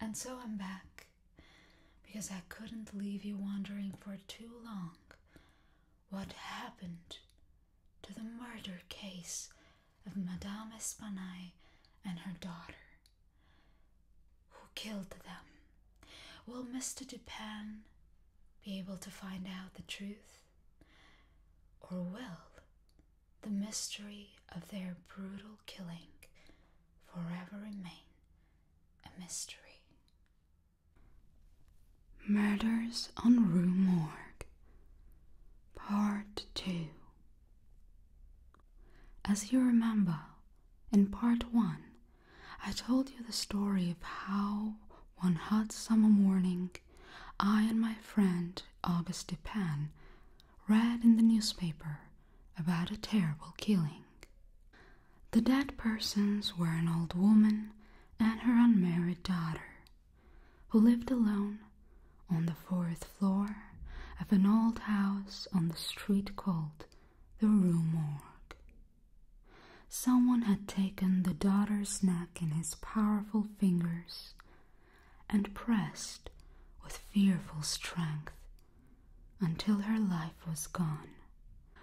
And so I'm back because I couldn't leave you wondering for too long what happened to the murder case of Madame Espinay and her daughter. Who killed them? Will Mr. Dupin be able to find out the truth? Or will the mystery of their brutal killing forever remain a mystery. Murders on Rue Morgue, Part 2. As you remember, in Part 1, I told you the story of how one hot summer morning I and my friend Auguste Dupin read in the newspaper about a terrible killing. The dead persons were an old woman and her unmarried daughter, who lived alone on the fourth floor of an old house on the street called the Rue Morgue. Someone had taken the daughter's neck in his powerful fingers and pressed with fearful strength until her life was gone.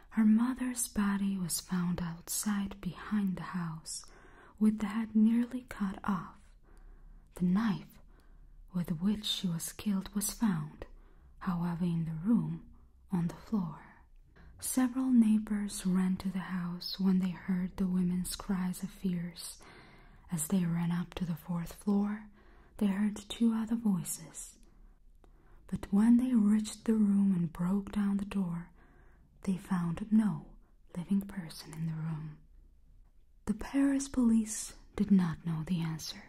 Her mother's body was found outside behind the house with the head nearly cut off. The knife with which she was killed was found, however, in the room on the floor. Several neighbors ran to the house when they heard the woman's cries of fears. As they ran up to the fourth floor, they heard two other voices. But when they reached the room and broke down the door, they found no living person in the room. The Paris police did not know the answer.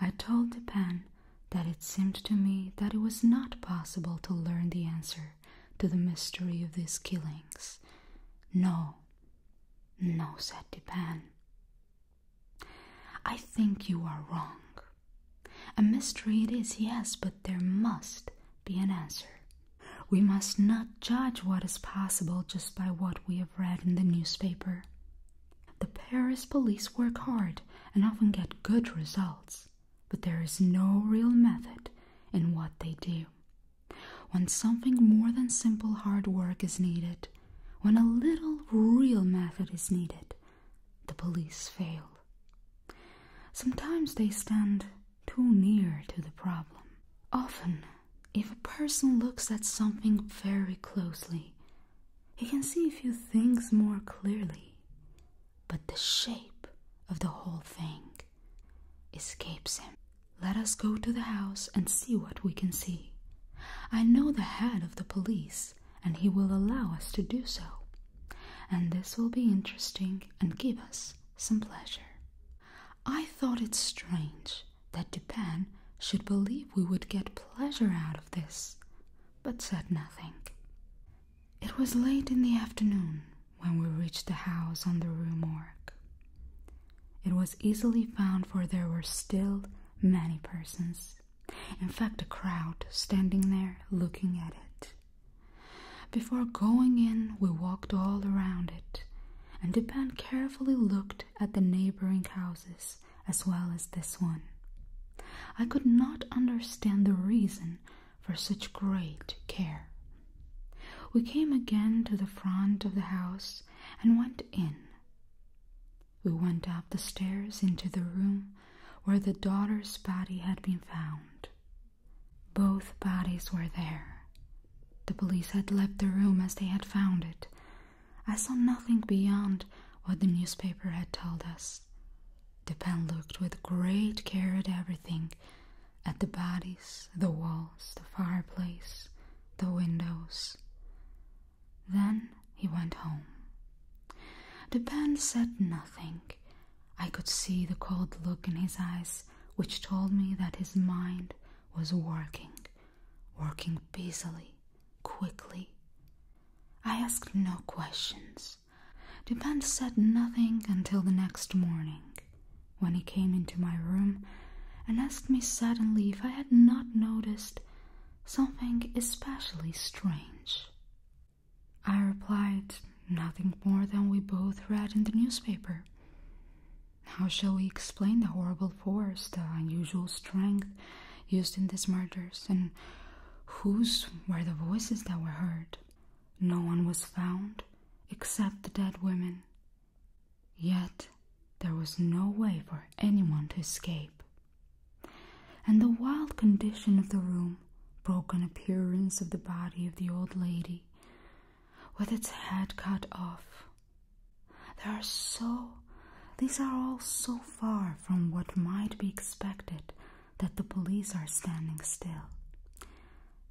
I told Depin that it seemed to me that it was not possible to learn the answer to the mystery of these killings. No, no, said Depin. I think you are wrong. A mystery it is, yes, but there must be an answer. We must not judge what is possible just by what we have read in the newspaper. The Paris police work hard and often get good results, but there is no real method in what they do. When something more than simple hard work is needed, when a little real method is needed, the police fail. Sometimes they stand too near to the problem. Often, if a person looks at something very closely, he can see a few things more clearly, but the shape of the whole thing escapes him. Let us go to the house and see what we can see. I know the head of the police, and he will allow us to do so. And this will be interesting and give us some pleasure. I thought it strange that Dupin should believe we would get pleasure out of this, but said nothing. It was late in the afternoon when we reached the house on the Rue Morgue. It was easily found, for there were still many persons. In fact, a crowd standing there looking at it. Before going in, we walked all around it, and Depend carefully looked at the neighboring houses as well as this one. I could not understand the reason for such great care. We came again to the front of the house and went in. We went up the stairs into the room where the daughter's body had been found. Both bodies were there. The police had left the room as they had found it. I saw nothing beyond what the newspaper had told us. The pen looked with great care at everything at the bodies, the walls, the fireplace, the windows. Then he went home. The band said nothing. I could see the cold look in his eyes, which told me that his mind was working, working busily, quickly. I asked no questions. The band said nothing until the next morning, when he came into my room and asked me suddenly if I had not noticed something especially strange. I replied, Nothing more than we both read in the newspaper. How shall we explain the horrible force, the unusual strength used in these murders, and whose were the voices that were heard? No one was found except the dead women Yet there was no way for anyone to escape, and the wild condition of the room, broken appearance of the body of the old lady, with its head cut off. There are so these are all so far from what might be expected that the police are standing still.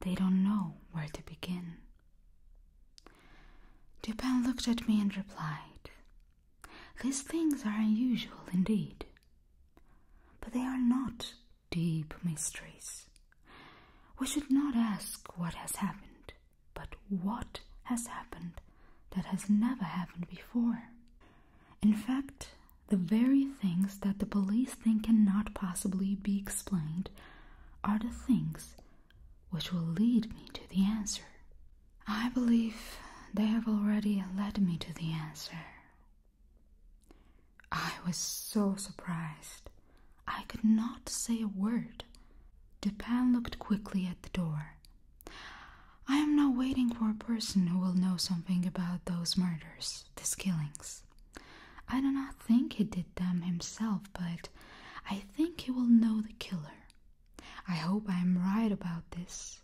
They don't know where to begin. Dupin looked at me and replied, These things are unusual indeed, but they are not deep mysteries. We should not ask what has happened, but what has happened that has never happened before. In fact, the very things that the police think cannot possibly be explained are the things which will lead me to the answer. I believe they have already led me to the answer. I was so surprised. I could not say a word. Dupin looked quickly at the door. I am now waiting for a person who will know something about those murders, those killings. I do not think he did them himself, but I think he will know the killer. I hope I am right about this.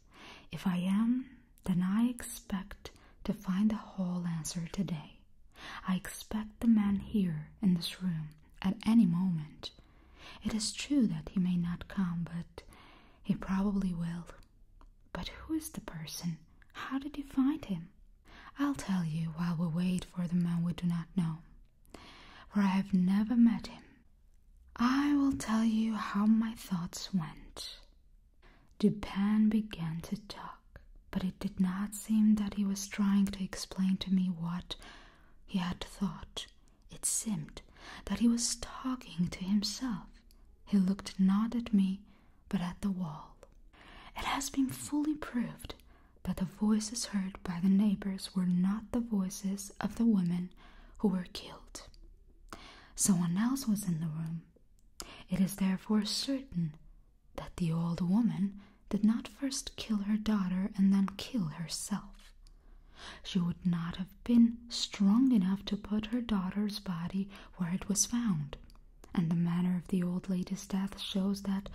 If I am, then I expect to find the whole answer today. I expect the man here in this room at any moment. It is true that he may not come, but he probably will. But who is the person? How did you find him? I'll tell you while we wait for the man we do not know. For I have never met him, I will tell you how my thoughts went. Dupin began to talk, but it did not seem that he was trying to explain to me what he had thought. It seemed that he was talking to himself. He looked not at me, but at the wall. It has been fully proved that the voices heard by the neighbors were not the voices of the women who were killed. Someone else was in the room. It is therefore certain that the old woman did not first kill her daughter and then kill herself. She would not have been strong enough to put her daughter's body where it was found, and the manner of the old lady's death shows that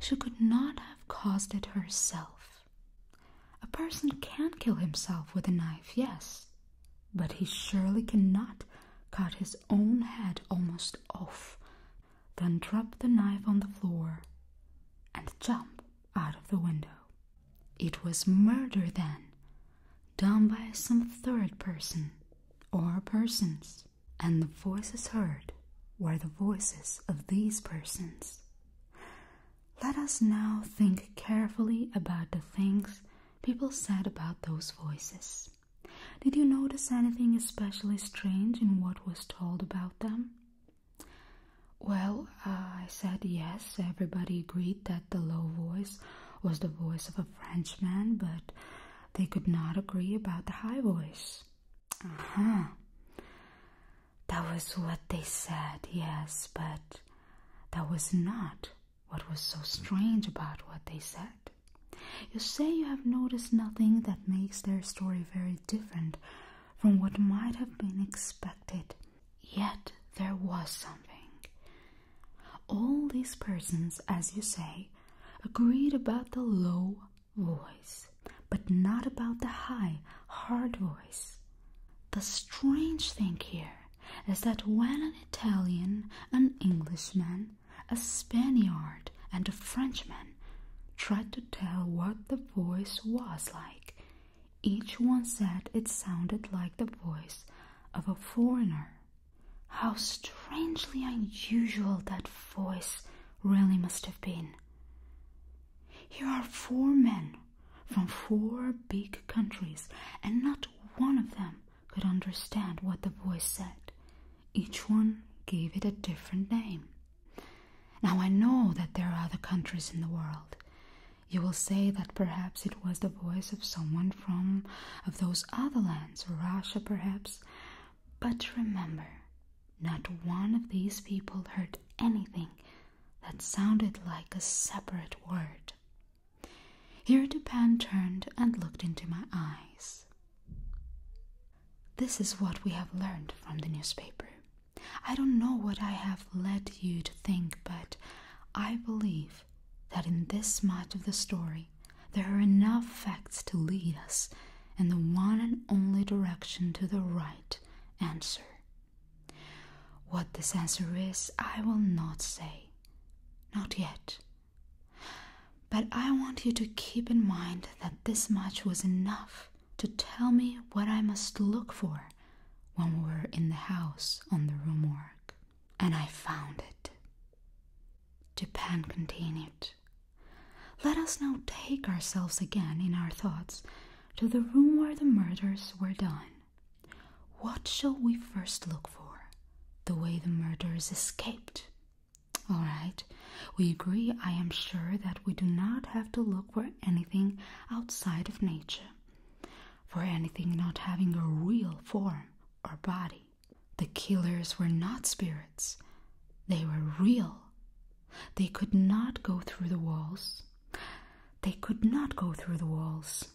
she could not have caused it herself. A person can kill himself with a knife, yes, but he surely cannot cut his own head almost off, then drop the knife on the floor and jump out of the window. It was murder then, done by some third person or persons, and the voices heard were the voices of these persons. Let us now think carefully about the things people said about those voices. Did you notice anything especially strange in what was told about them? Well, uh, I said yes, everybody agreed that the low voice was the voice of a Frenchman, but they could not agree about the high voice. Aha. Uh-huh. That was what they said, yes, but that was not what was so strange about what they said. You say you have noticed nothing that makes their story very different from what might have been expected, yet there was something. All these persons, as you say, agreed about the low voice but not about the high, hard voice. The strange thing here is that when an Italian, an Englishman, a Spaniard, and a Frenchman tried to tell what the voice was like, each one said it sounded like the voice of a foreigner. How strangely unusual that voice really must have been. Here are four men from four big countries, and not one of them could understand what the voice said. Each one gave it a different name. Now I know that there are other countries in the world. You will say that perhaps it was the voice of someone from of those other lands, Russia perhaps. But remember, not one of these people heard anything that sounded like a separate word. Here Dupin turned and looked into my eyes. This is what we have learned from the newspaper. I don't know what I have led you to think, but I believe that in this much of the story there are enough facts to lead us in the one and only direction to the right answer. What the answer is, I will not say. Not yet. But I want you to keep in mind that this much was enough to tell me what I must look for when we were in the house on the Rumorg. And I found it. Japan continued. Let us now take ourselves again in our thoughts to the room where the murders were done. What shall we first look for? The way the murderers escaped. All right, we agree, I am sure, that we do not have to look for anything outside of nature, for anything not having a real form or body. The killers were not spirits, they were real they could not go through the walls. They could not go through the walls.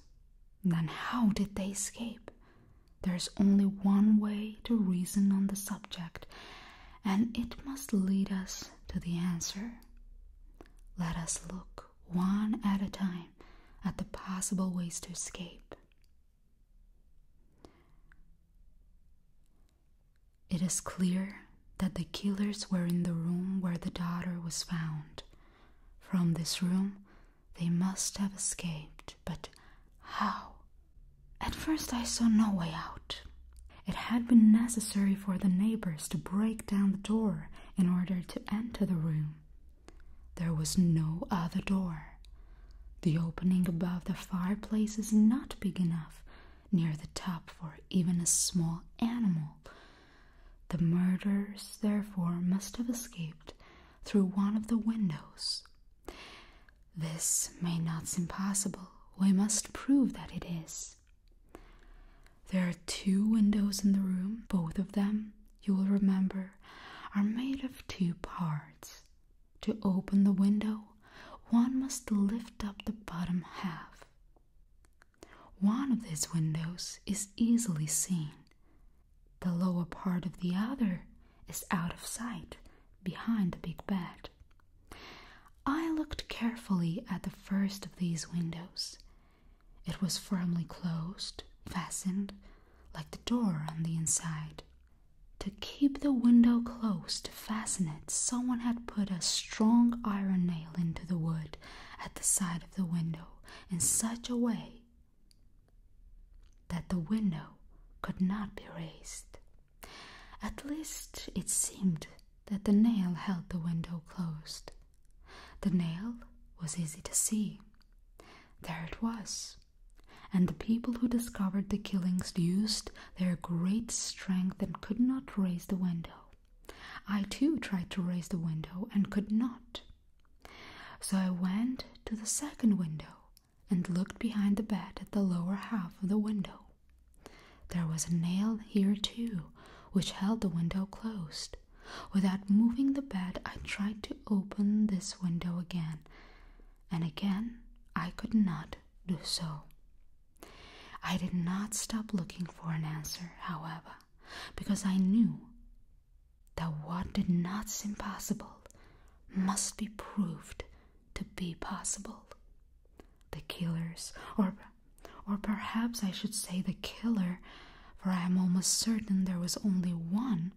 Then how did they escape? There's only one way to reason on the subject, and it must lead us to the answer. Let us look one at a time at the possible ways to escape. It is clear that the killers were in the room where the daughter was found. From this room, they must have escaped, but how? At first, I saw no way out. It had been necessary for the neighbors to break down the door in order to enter the room. There was no other door. The opening above the fireplace is not big enough near the top for even a small animal the murderers, therefore, must have escaped through one of the windows. This may not seem possible. We must prove that it is. There are two windows in the room. Both of them, you will remember, are made of two parts. To open the window, one must lift up the bottom half. One of these windows is easily seen. The lower part of the other is out of sight behind the big bed. I looked carefully at the first of these windows. It was firmly closed, fastened, like the door on the inside. To keep the window closed to fasten it, someone had put a strong iron nail into the wood at the side of the window in such a way that the window could not be raised. At least it seemed that the nail held the window closed. The nail was easy to see. There it was. And the people who discovered the killings used their great strength and could not raise the window. I too tried to raise the window and could not. So I went to the second window and looked behind the bed at the lower half of the window. There was a nail here too, which held the window closed. Without moving the bed, I tried to open this window again, and again I could not do so. I did not stop looking for an answer, however because I knew that what did not seem possible must be proved to be possible. The killers, or, or perhaps I should say the killer, for I am almost certain there was only one,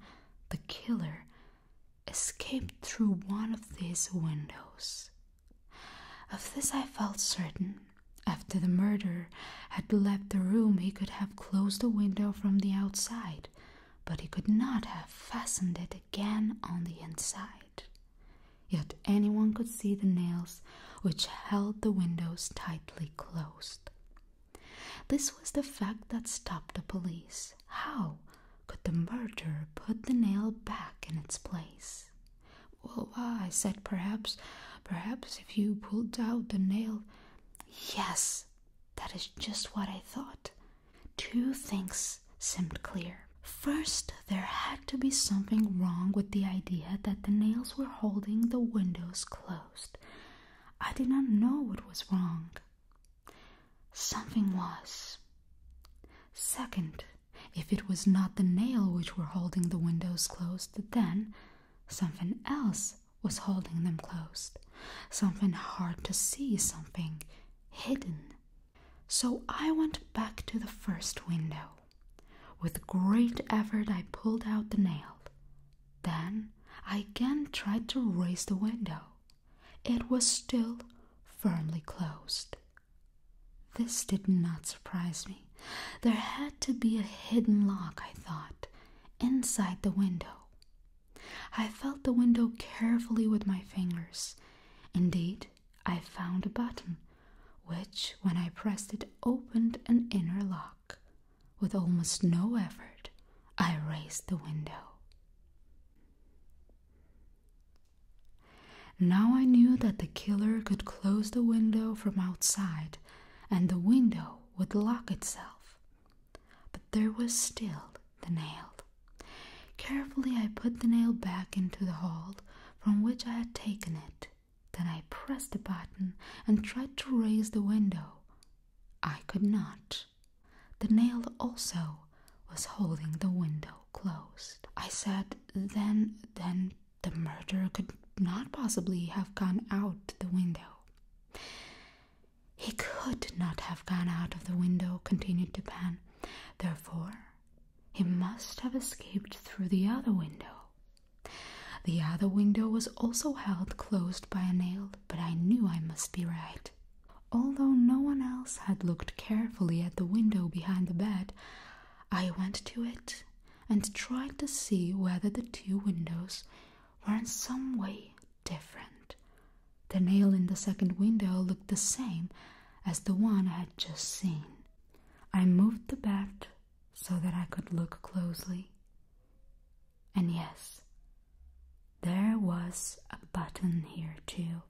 the killer, escaped through one of these windows. Of this I felt certain, after the murderer had left the room, he could have closed the window from the outside, but he could not have fastened it again on the inside. Yet anyone could see the nails which held the windows tightly closed. This was the fact that stopped the police. How could the murderer put the nail back in its place? Well, I said perhaps, perhaps if you pulled out the nail. Yes, that is just what I thought. Two things seemed clear. First, there had to be something wrong with the idea that the nails were holding the windows closed. I did not know what was wrong. Something was. Second, if it was not the nail which were holding the windows closed, then Something else was holding them closed, something hard to see, something hidden. So I went back to the first window. With great effort, I pulled out the nail. Then I again tried to raise the window. It was still firmly closed. This did not surprise me. There had to be a hidden lock, I thought, inside the window. I felt the window carefully with my fingers. Indeed, I found a button, which, when I pressed it, opened an inner lock. With almost no effort, I raised the window. Now I knew that the killer could close the window from outside and the window would lock itself. But there was still the nail. Carefully, I put the nail back into the hole from which I had taken it. Then I pressed the button and tried to raise the window. I could not. The nail also was holding the window closed. I said, Then, then the murderer could not possibly have gone out the window. He could not have gone out of the window, continued Dupin. Therefore, he must have escaped through the other window. The other window was also held closed by a nail, but I knew I must be right. Although no one else had looked carefully at the window behind the bed, I went to it and tried to see whether the two windows were in some way different. The nail in the second window looked the same as the one I had just seen. I moved the bed so that I could look closely. And yes, there was a button here too.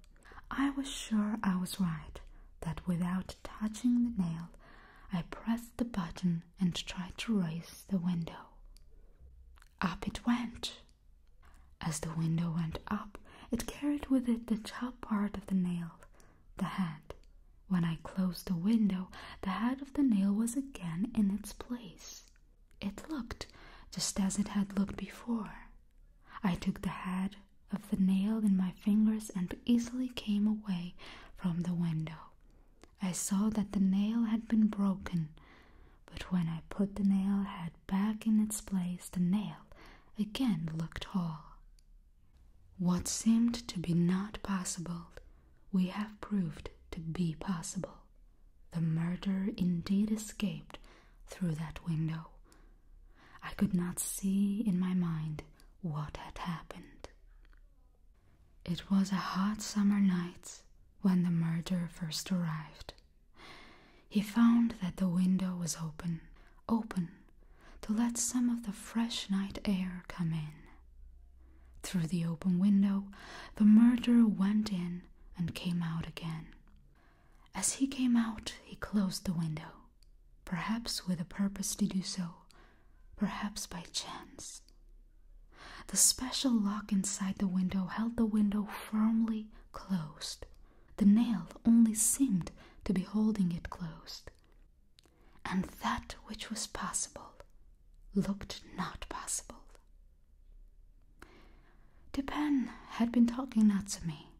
I was sure I was right, that without touching the nail, I pressed the button and tried to raise the window. Up it went. As the window went up, it carried with it the top part of the nail, the head. When I closed the window, the head of the nail was again in its place. It looked just as it had looked before. I took the head of the nail in my fingers and easily came away from the window. I saw that the nail had been broken, but when I put the nail head back in its place, the nail again looked whole. What seemed to be not possible, we have proved to be possible. The murderer indeed escaped through that window. I could not see in my mind what had happened. It was a hot summer night when the murderer first arrived. He found that the window was open, open to let some of the fresh night air come in. Through the open window, the murderer went in and came out again. As he came out, he closed the window, perhaps with a purpose to do so perhaps by chance. The special lock inside the window held the window firmly closed. The nail only seemed to be holding it closed. And that which was possible looked not possible. Depin had been talking not to me.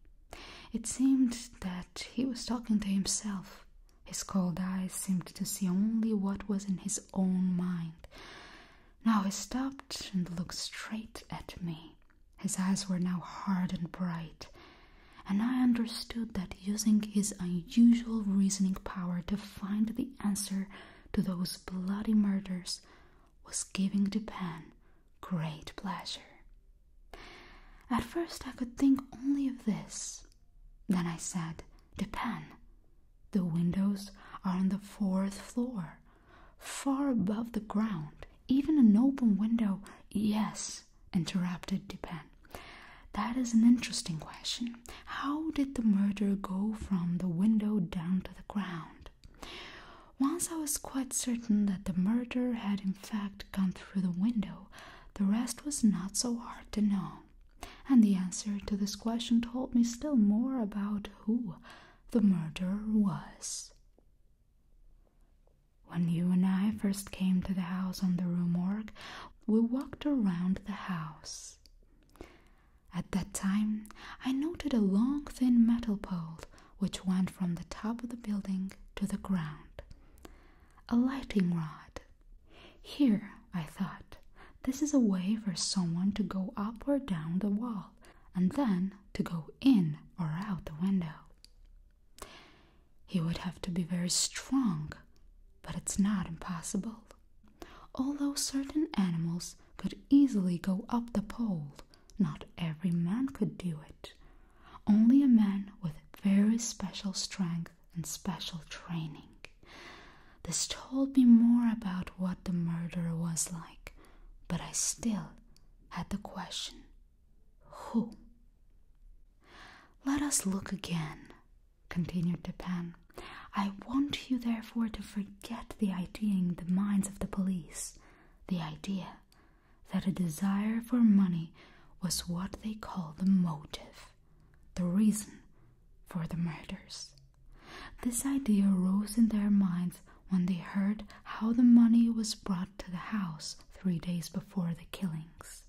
It seemed that he was talking to himself his cold eyes seemed to see only what was in his own mind. Now he stopped and looked straight at me. His eyes were now hard and bright, and I understood that using his unusual reasoning power to find the answer to those bloody murders was giving Japan great pleasure. At first, I could think only of this, then I said, The The windows are on the fourth floor, far above the ground. Even an open window. Yes, interrupted Dupin. That is an interesting question. How did the murderer go from the window down to the ground? Once I was quite certain that the murderer had in fact gone through the window, the rest was not so hard to know. And the answer to this question told me still more about who the murderer was. When you and I first came to the house on the Rue Morgue, we walked around the house. At that time, I noted a long thin metal pole which went from the top of the building to the ground a lighting rod. Here, I thought, this is a way for someone to go up or down the wall and then to go in or out the window. He would have to be very strong, but it's not impossible. Although certain animals could easily go up the pole, not every man could do it. Only a man with very special strength and special training. This told me more about what the murder was like, but I still had the question who? Let us look again, continued the pen. I want you, therefore, to forget the idea in the minds of the police the idea that a desire for money was what they call the motive the reason for the murders. This idea rose in their minds when they heard how the money was brought to the house three days before the killings.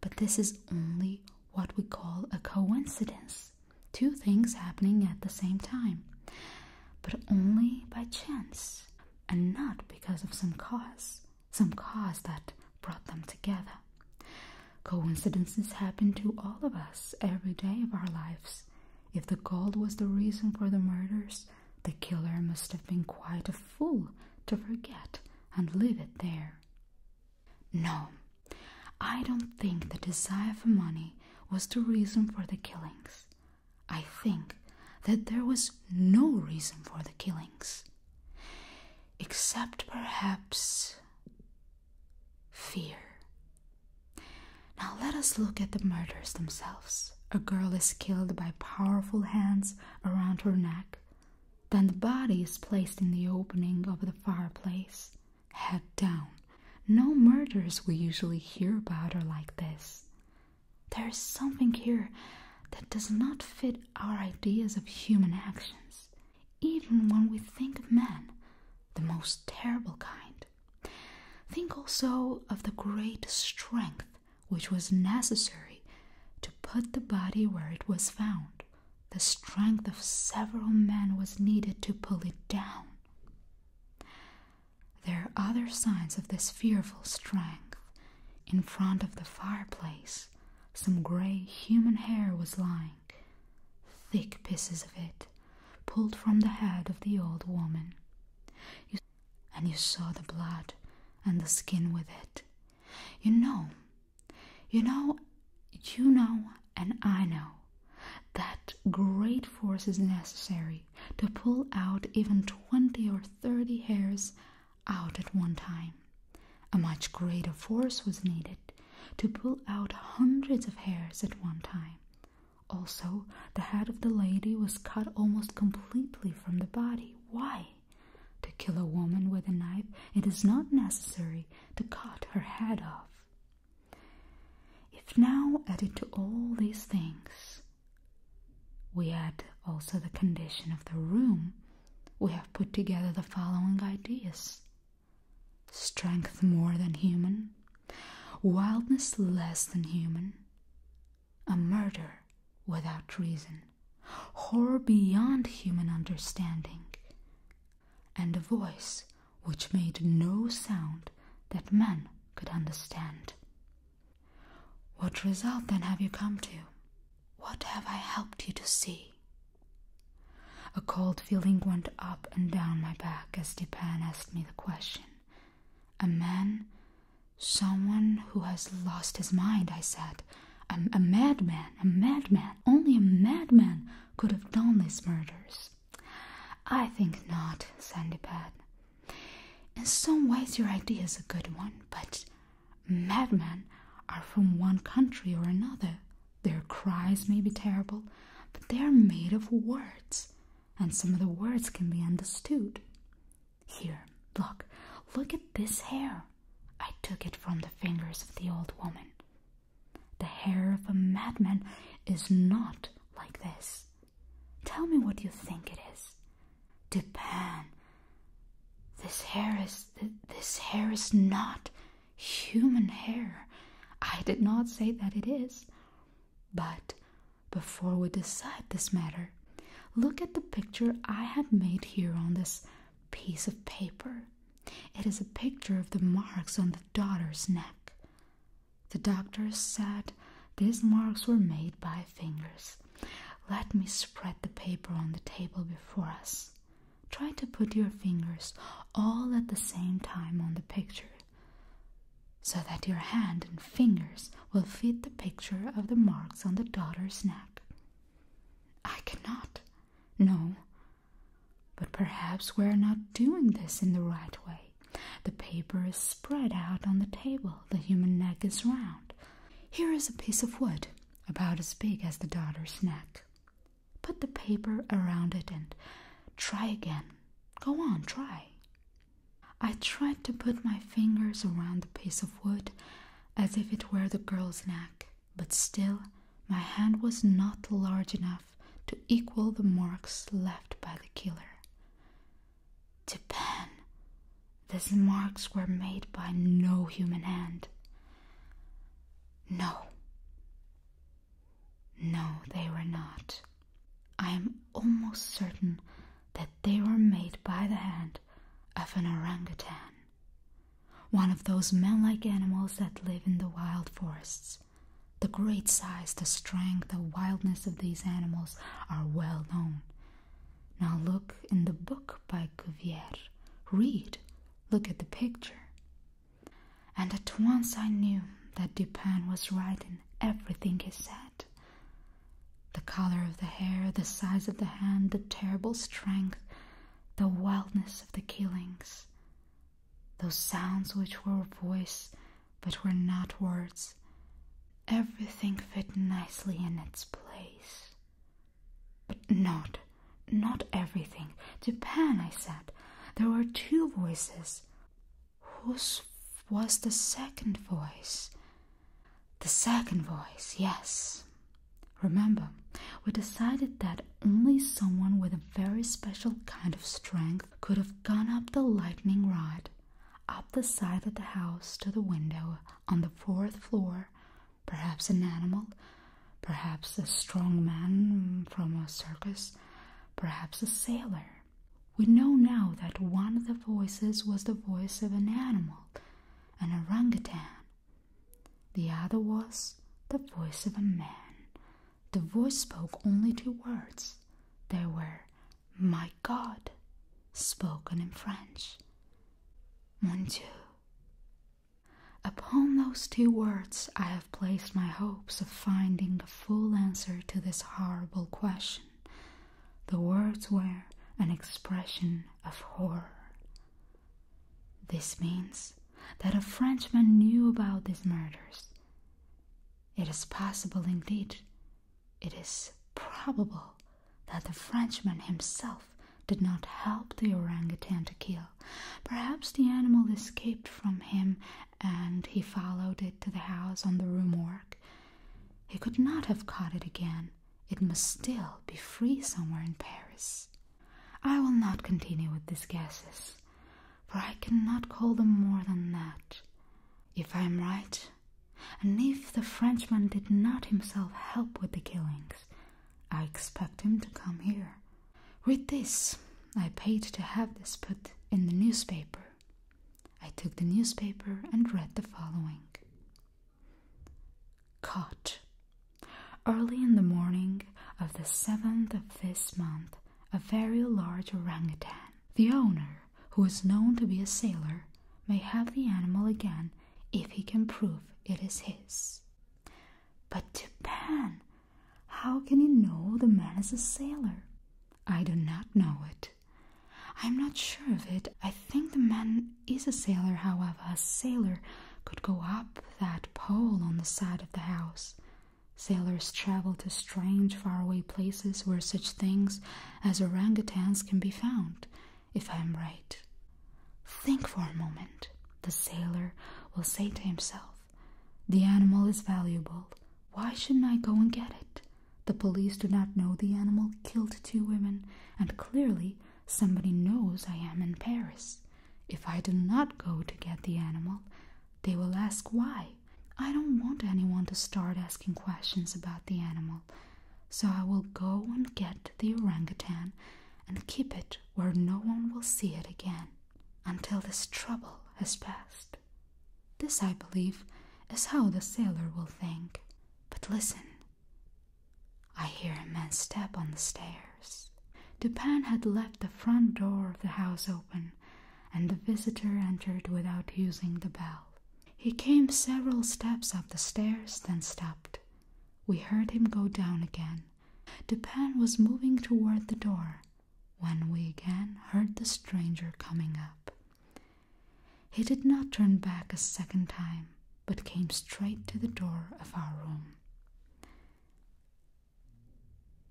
But this is only what we call a coincidence two things happening at the same time, but only by chance and not because of some cause, some cause that brought them together. Coincidences happen to all of us every day of our lives. If the gold was the reason for the murders, the killer must have been quite a fool to forget and leave it there. No, I don't think the desire for money was the reason for the killings. I think that there was no reason for the killings. Except perhaps fear. Now let us look at the murders themselves. A girl is killed by powerful hands around her neck. Then the body is placed in the opening of the fireplace, head down. No murders we usually hear about are like this. There is something here that does not fit our ideas of human actions even when we think of man, the most terrible kind. Think also of the great strength which was necessary to put the body where it was found. The strength of several men was needed to pull it down. There are other signs of this fearful strength. In front of the fireplace, some gray human hair was lying. Thick pieces of it, pulled from the head of the old woman. and you saw the blood and the skin with it. You know, you know, you know, and I know that great force is necessary to pull out even 20 or 30 hairs out at one time. A much greater force was needed to pull out hundreds of hairs at one time. Also, the head of the lady was cut almost completely from the body. Why? To kill a woman with a knife, it is not necessary to cut her head off. If now added to all these things, we add also the condition of the room, we have put together the following ideas strength more than human, wildness less than human, a murder without reason, horror beyond human understanding, and a voice which made no sound that man could understand. What result then have you come to? What have I helped you to see? A cold feeling went up and down my back as Stepan asked me the question. A man? Someone who has lost his mind, I said. A, madman, a madman. Only a madman could have done these murders. I think not, Sandipad. In some ways, your idea is a good one, but madmen are from one country or another. Their cries may be terrible, but they are made of words, and some of the words can be understood. Here, look, look at this hair. I took it from the fingers of the old woman. The hair of a madman is not like this. Tell me what you think it is. Dupin, this hair is this hair is not Human hair. I did not say that it is. But before we decide this matter, look at the picture I have made here on this piece of paper. It is a picture of the marks on the daughter's neck. The doctor said these marks were made by fingers. Let me spread the paper on the table before us. Try to put your fingers all at the same time on the picture so that your hand and fingers will fit the picture of the marks on the daughter's neck. I cannot. No. But perhaps we are not doing this in the right way. The paper is spread out on the table, the human neck is round. Here is a piece of wood, about as big as the daughter's neck. Put the paper around it and try again. Go on, try. I tried to put my fingers around the piece of wood as if it were the girl's neck, but still my hand was not large enough to equal the marks left by the killer. To pen, these marks were made by no human hand. No, no, they were not. I am almost certain that they were made by the hand of an orangutan, one of those man like animals that live in the wild forests. The great size, the strength, the wildness of these animals are well known. Now look in the book by Cuvier. Read. Look at the picture. And at once I knew that Dupin was right in everything he said. The color of the hair, the size of the hand, the terrible strength, the wildness of the killings. Those sounds which were voice but were not words. Everything fit nicely in its place. But not not everything. Japan, I said. There were two voices. Whose was the second voice? The second voice, yes. Remember, we decided that only someone with a very special kind of strength could have gone up the lightning rod, up the side of the house to the window on the fourth floor, perhaps an animal, perhaps a strong man from a circus, perhaps a sailor. We know now that one of the voices was the voice of an animal, an orangutan. The other was the voice of a man. The voice spoke only two words. They were, My God, spoken in French. Mon Dieu. Upon those two words, I have placed my hopes of finding the full answer to this horrible question. The words were an expression of horror. This means that a Frenchman knew about these murders. It is possible, indeed, it is probable that the Frenchman himself did not help the orangutan to kill. Perhaps the animal escaped from him and he followed it to the house on the Rue Morgue. He could not have caught it again. It must still be free somewhere in Paris. I will not continue with these guesses, for I cannot call them more than that. If I am right, and if the Frenchman did not himself help with the killings, I expect him to come here Read this. I paid to have this put in the newspaper. I took the newspaper and read the following Caught. Early in the morning of the seventh of this month, a very large orangutan, the owner, who is known to be a sailor, may have the animal again if he can prove it is his. But to Japan, how can you know the man is a sailor? I do not know it. I am not sure of it. I think the man is a sailor, however. A sailor could go up that pole on the side of the house. Sailors travel to strange, faraway places where such things as orangutans can be found, if I am right. Think for a moment, the sailor will say to himself. The animal is valuable. Why shouldn't I go and get it? The police do not know the animal killed two women, and clearly somebody knows I am in Paris. If I do not go to get the animal, they will ask why. I don't want anyone to start asking questions about the animal, so I will go and get the orangutan and keep it where no one will see it again until this trouble has passed. This, I believe, is how the sailor will think. But listen. I hear a man's step on the stairs. Dupin had left the front door of the house open, and the visitor entered without using the bell. He came several steps up the stairs, then stopped. We heard him go down again. Dupin was moving toward the door when we again heard the stranger coming up. He did not turn back a second time, but came straight to the door of our room.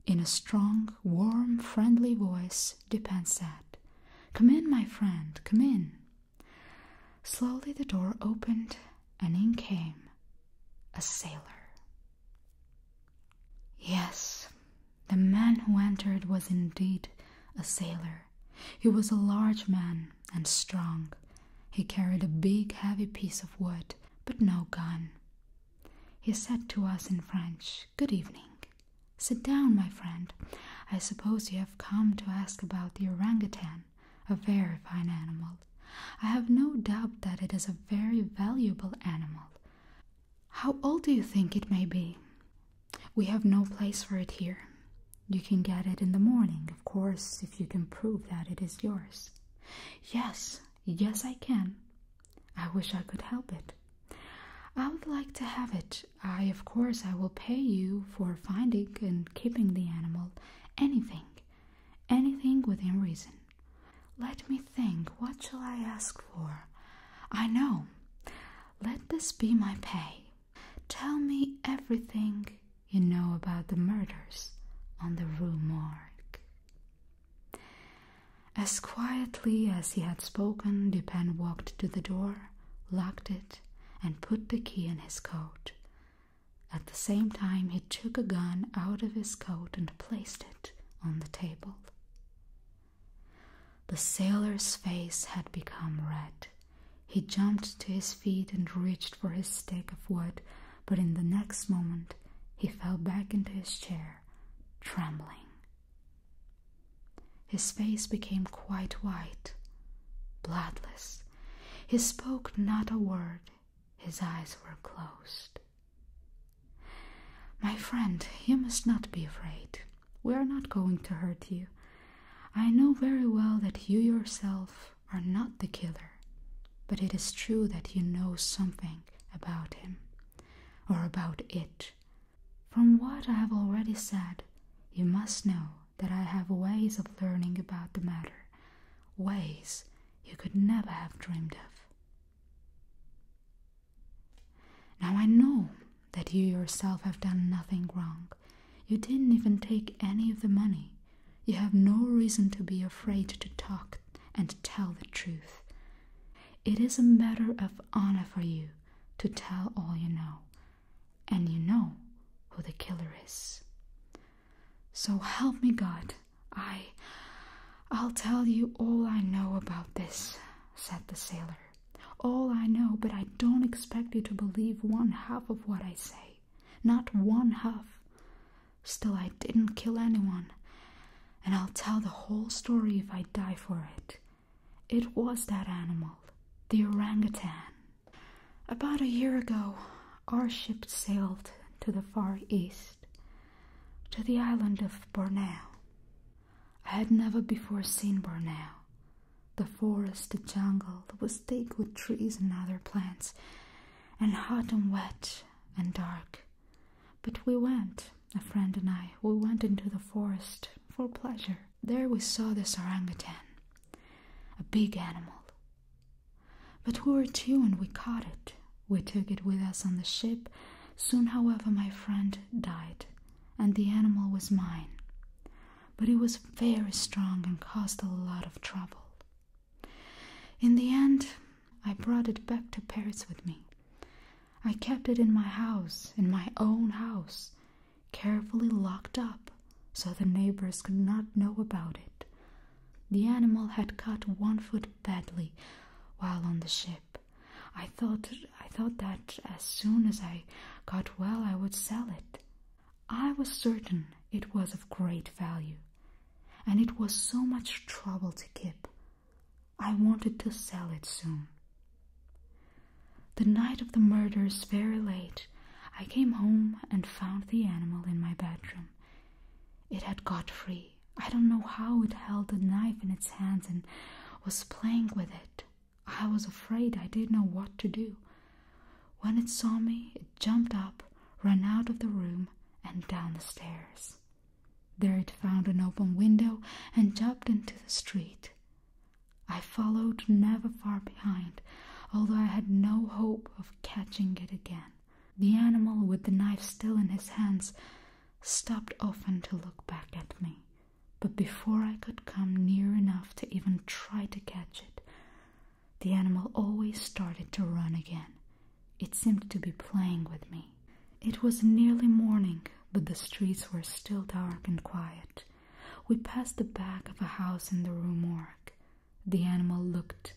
In a strong, warm, friendly voice, Dupin said, Come in, my friend, come in. Slowly the door opened, and in came a sailor. Yes, the man who entered was indeed a sailor. He was a large man and strong. He carried a big, heavy piece of wood, but no gun. He said to us in French, Good evening. Sit down, my friend. I suppose you have come to ask about the orangutan, a very fine animal. I have no doubt that it is a very valuable animal. How old do you think it may be? We have no place for it here. You can get it in the morning, of course, if you can prove that it is yours. Yes, yes, I can. I wish I could help it. I would like to have it. I, of course, I will pay you for finding and keeping the animal. Anything. Anything within reason. Let me think, what shall I ask for? I know. Let this be my pay. Tell me everything you know about the murders on the Rue Morgue. As quietly as he had spoken, Dupin walked to the door, locked it, and put the key in his coat. At the same time, he took a gun out of his coat and placed it on the table. The sailor's face had become red. He jumped to his feet and reached for his stick of wood, but in the next moment he fell back into his chair, trembling. His face became quite white, bloodless. He spoke not a word, his eyes were closed. My friend, you must not be afraid. We are not going to hurt you. I know very well that you yourself are not the killer, but it is true that you know something about him, or about it. From what I have already said, you must know that I have ways of learning about the matter, ways you could never have dreamed of. Now I know that you yourself have done nothing wrong. You didn't even take any of the money. You have no reason to be afraid to talk and tell the truth. It is a matter of honor for you to tell all you know, and you know who the killer is. So help me God. I. I'll tell you all I know about this, said the sailor. All I know, but I don't expect you to believe one half of what I say. Not one half. Still, I didn't kill anyone, and I'll tell the whole story if I die for it. It was that animal, the orangutan. About a year ago, our ship sailed to the Far East to the island of Borneo. I had never before seen Borneo. The forest, jungle was thick with trees and other plants, and hot and wet and dark. But we went, a friend and I, we went into the forest for pleasure. There we saw the orangutan, a big animal. But we were two and we caught it. We took it with us on the ship. Soon, however, my friend died, and the animal was mine. But it was very strong and caused a lot of trouble. In the end, I brought it back to Paris with me. I kept it in my house, in my own house, carefully locked up so the neighbors could not know about it. The animal had cut one foot badly while on the ship. I thought I thought that as soon as I got well I would sell it. I was certain it was of great value, and it was so much trouble to keep. I wanted to sell it soon. The night of the murders, very late, I came home and found the animal in my bedroom. It had got free I don't know how it held the knife in its hands and was playing with it. I was afraid, I didn't know what to do. When it saw me, it jumped up, ran out of the room, and down the stairs. There it found an open window and jumped into the street. I followed never far behind, although I had no hope of catching it again. The animal, with the knife still in his hands, stopped often to look back at me, but before I could come near enough to even try to catch it, the animal always started to run again. It seemed to be playing with me. It was nearly morning, but the streets were still dark and quiet. We passed the back of a house in the Rue Morgue. The animal looked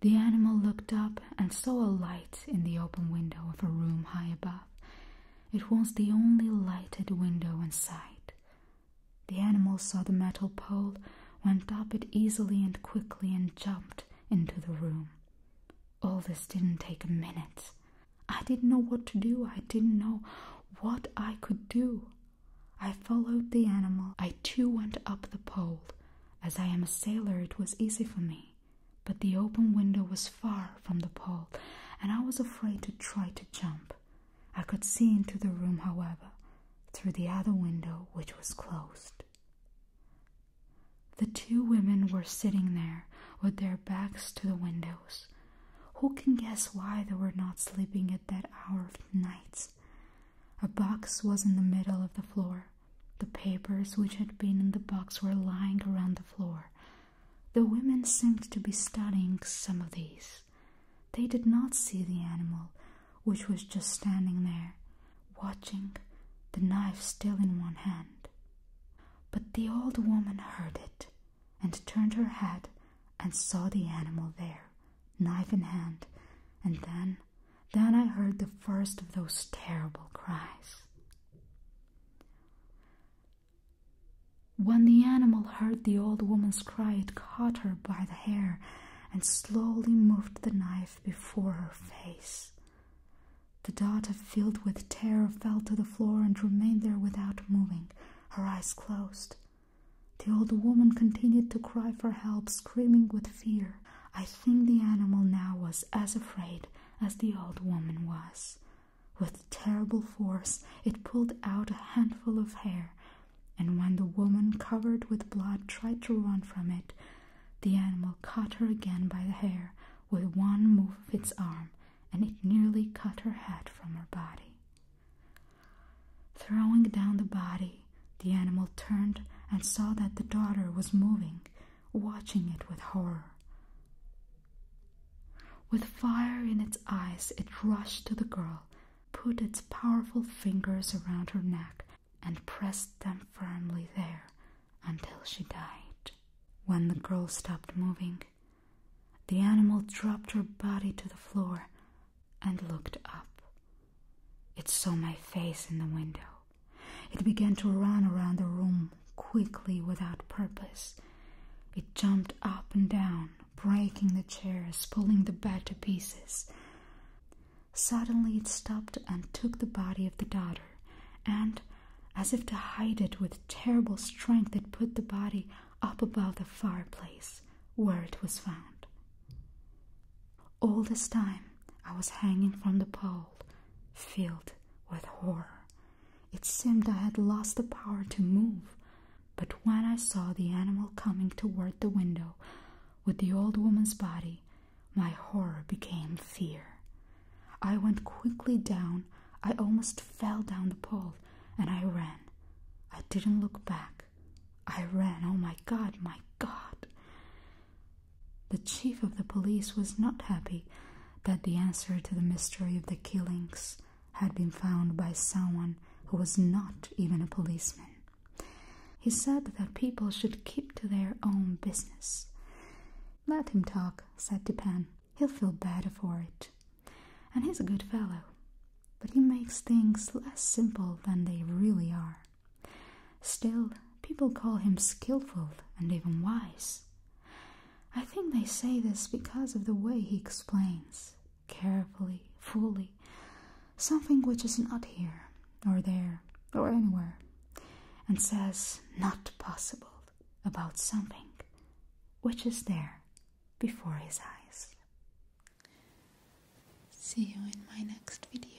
the animal looked up and saw a light in the open window of a room high above. It was the only lighted window in sight. The animal saw the metal pole, went up it easily and quickly, and jumped into the room. All this didn't take a minute. I didn't know what to do, I didn't know what I could do. I followed the animal, I too went up the pole. As I am a sailor, it was easy for me but the open window was far from the pole, and I was afraid to try to jump. I could see into the room, however, through the other window which was closed. The two women were sitting there with their backs to the windows. Who can guess why they were not sleeping at that hour of the night? A box was in the middle of the floor, the papers which had been in the box were lying around the floor. The women seemed to be studying some of these. They did not see the animal, which was just standing there, watching, the knife still in one hand. But the old woman heard it, and turned her head and saw the animal there, knife in hand, and then then I heard the first of those terrible cries. When the animal heard the old woman's cry, it caught her by the hair and slowly moved the knife before her face. The daughter, filled with terror, fell to the floor and remained there without moving, her eyes closed. The old woman continued to cry for help, screaming with fear. I think the animal now was as afraid as the old woman was. With terrible force, it pulled out a handful of hair, and when the woman, covered with blood, tried to run from it, the animal caught her again by the hair with one move of its arm, and it nearly cut her head from her body. Throwing down the body, the animal turned and saw that the daughter was moving, watching it with horror. With fire in its eyes, it rushed to the girl, put its powerful fingers around her neck, and pressed them firmly there until she died. When the girl stopped moving, the animal dropped her body to the floor and looked up. It saw my face in the window. It began to run around the room quickly without purpose. It jumped up and down, breaking the chairs, pulling the bed to pieces. Suddenly it stopped and took the body of the daughter, and, as if to hide it with terrible strength, it put the body up above the fireplace, where it was found. All this time I was hanging from the pole, filled with horror. It seemed I had lost the power to move, but when I saw the animal coming toward the window with the old woman's body, my horror became fear. I went quickly down. I almost fell down the pole, and I ran. I didn't look back. I ran. Oh my God, my God. The chief of the police was not happy that the answer to the mystery of the killings had been found by someone who was not even a policeman. He said that people should keep to their own business. Let him talk, said Dupin. He'll feel better for it. And he's a good fellow, but he makes things less simple than they really are. Still, people call him skillful and even wise. I think they say this because of the way he explains, carefully, fully, something which is not here, or there, or anywhere, and says not possible about something which is there before his eyes. See you in my next video.